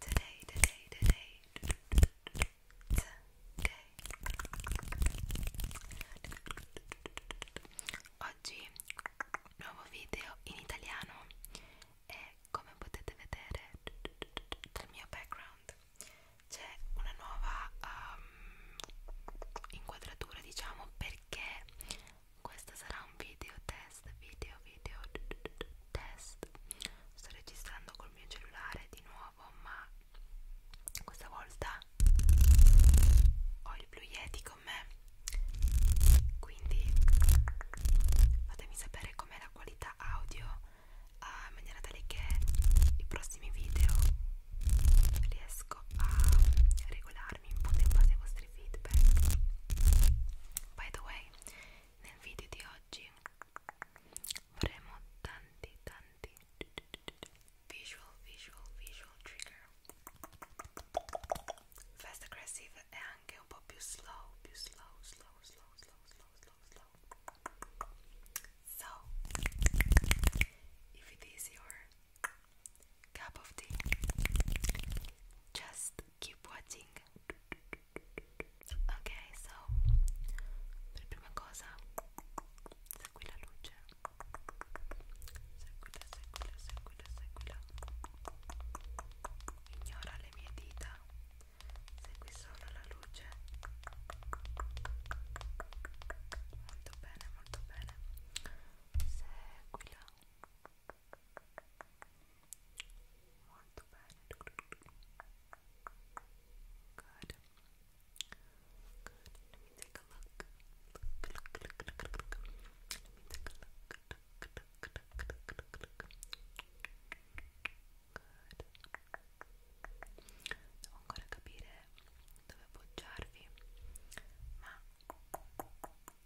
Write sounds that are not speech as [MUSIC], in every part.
today, today, today. Oggi nuovo video in italiano e come potete vedere dal mio background c'è una nuova um, inquadratura diciamo perché questo sarà un video test test video video test sto registrando col mio cellulare di nuovo ma questa volta ho il Blue Yeti con me quindi fatemi sapere com'è la qualità audio ah, in maniera tale che i prossimi video riesco a regolarmi in base ai vostri feedback by the way nel video di oggi faremo tanti tanti visual visual visual trigger fast aggressive e anche un po' più slow più slow slow slow slow slow slow so if it is your cup of tea just keep watching ok so per prima cosa segui la luce seguila seguila seguila seguila ignora le mie dita segui solo la luce molto bene molto bene seguila Molto bene. Good. Good. Let me take a look. Look, look, look, look, look. Let me take a look. Look, look, look, look, look, look. Good. Devo ancora capire dove appoggiarvi, ma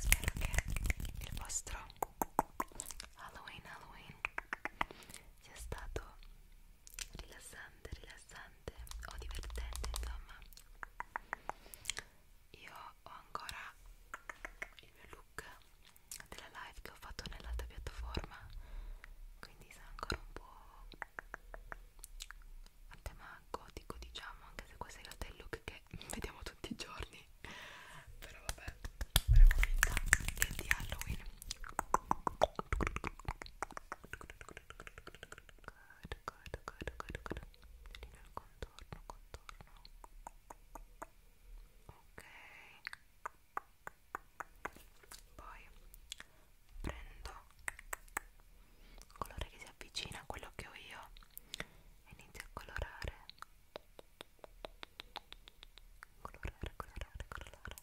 Spero che il vostro Halloween Halloween sia stato rilassante, rilassante o divertente, insomma. Io ho ancora il mio look della live che ho fatto nell'altra piattaforma quindi sarà ancora un po' a tema gotico diciamo anche se questo in realtà è il look che [LAUGHS] vediamo tutti i giorni però vabbè faremo finta che è di Halloween Good, good, good, good, good. il contorno, contorno. Ok poi prendo un colore che si avvicina a quello che ho io e inizio a colorare colorare, colorare, colorare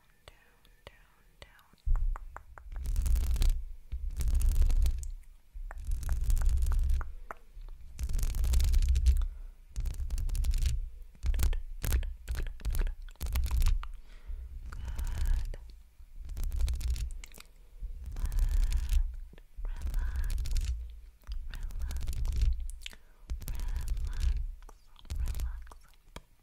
down, down, down. Good. Relax, relax, relax, relax, relax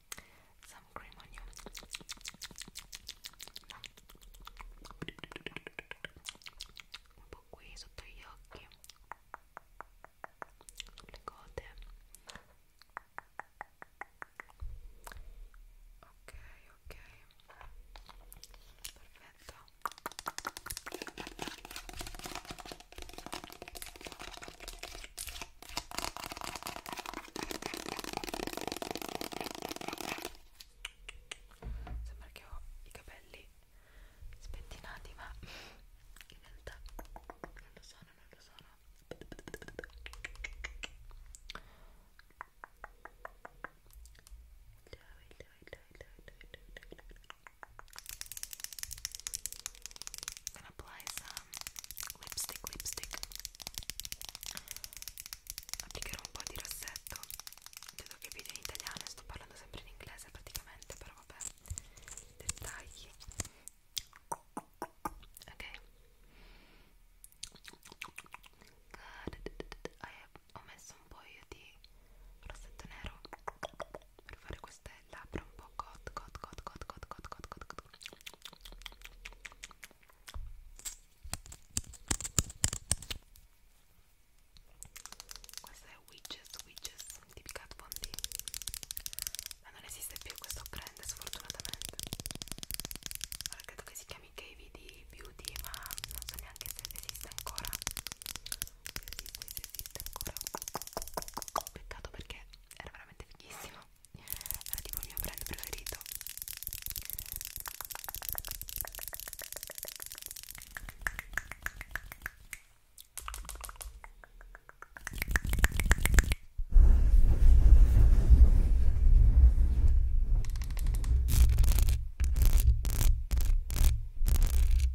some cream on you. Un po' qui sotto gli occhi, sulle gote. Ok, ok, perfetto. Sembra che ho i capelli spettinati, ma in realtà non lo sono, non lo sono. Dai, dai, dai, dai, dai, dai, dai, dai. I'm gonna apply some lipstick, lipstick. Applicherò un po' di rossetto. Credo che video in italiano, sto parlando sempre in inglese praticamente, però vabbè. Dettagli. Ok. Good. Ho messo un po' io di rossetto nero per fare queste labbra un po' cot cot cot cot cot cot cot cot cot questa è Witches Witches di Picat Bondi ma non esiste più questo brand sfortunatamente allora credo che si chiami KVD Beauty ma non so neanche se esiste ancora sì, questo esiste ancora peccato perché era veramente fighissimo era tipo il mio brand preferito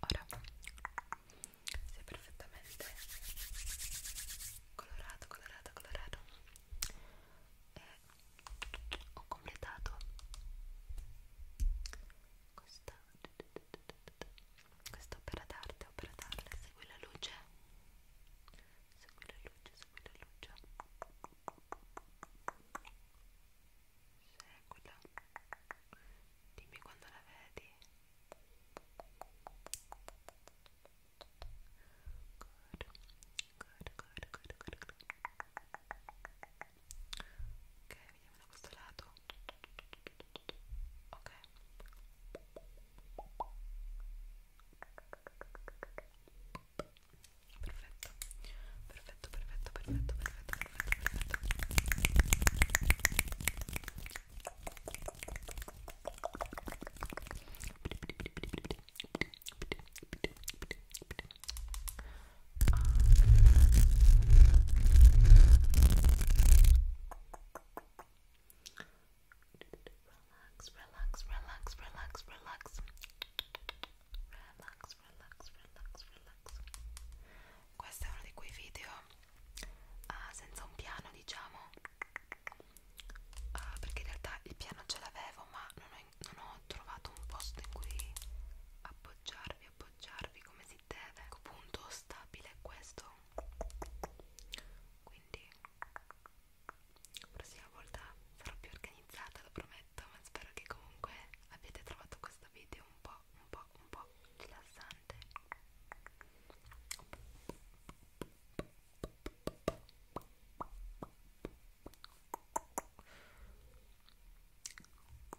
Ora sei perfettamente colorato, colorato, colorato e ho completato questa questa opera d'arte, opera d'arte, segui la luce segui la luce, segui la luce seguila dimmi quando la vedi good, good, good, good, good, good. ok, vediamo da questo lato ok perfetto perfetto perfetto perfetto perfetto perfetto perfetto ah. Relax, relax, relax, relax, relax. Relax, relax, relax, relax. Questo è uno di quei video uh, senza un piano, diciamo. Uh, perché in realtà il piano ce l'avevo, ma non ho, non ho trovato un posto in cui appoggiarvi, appoggiarvi come si deve ecco, punto stabile questo quindi la prossima volta sarò più organizzata lo prometto ma spero che comunque abbiate trovato questo video un po' un po' un po' rilassante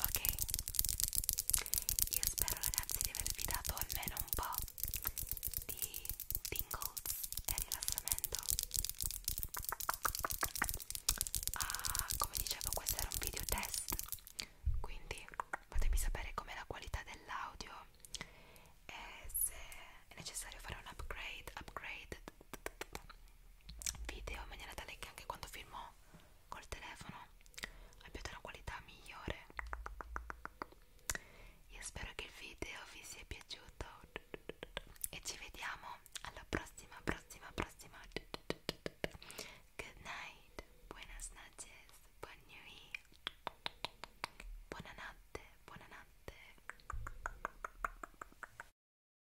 ok io spero ragazzi di avervi dato almeno un po' di tingles e rilassamento ah, come dicevo questo era un video test quindi fatemi sapere com'è la qualità dell'audio e se è necessario fare un upgrade upgrade video in maniera tale che anche quando filmo col telefono abbiate una qualità migliore io spero che il video vi sia piaciuto e ci vediamo alla prossima prossima prossima good night buenas noches buon nuit buonanotte buonanotte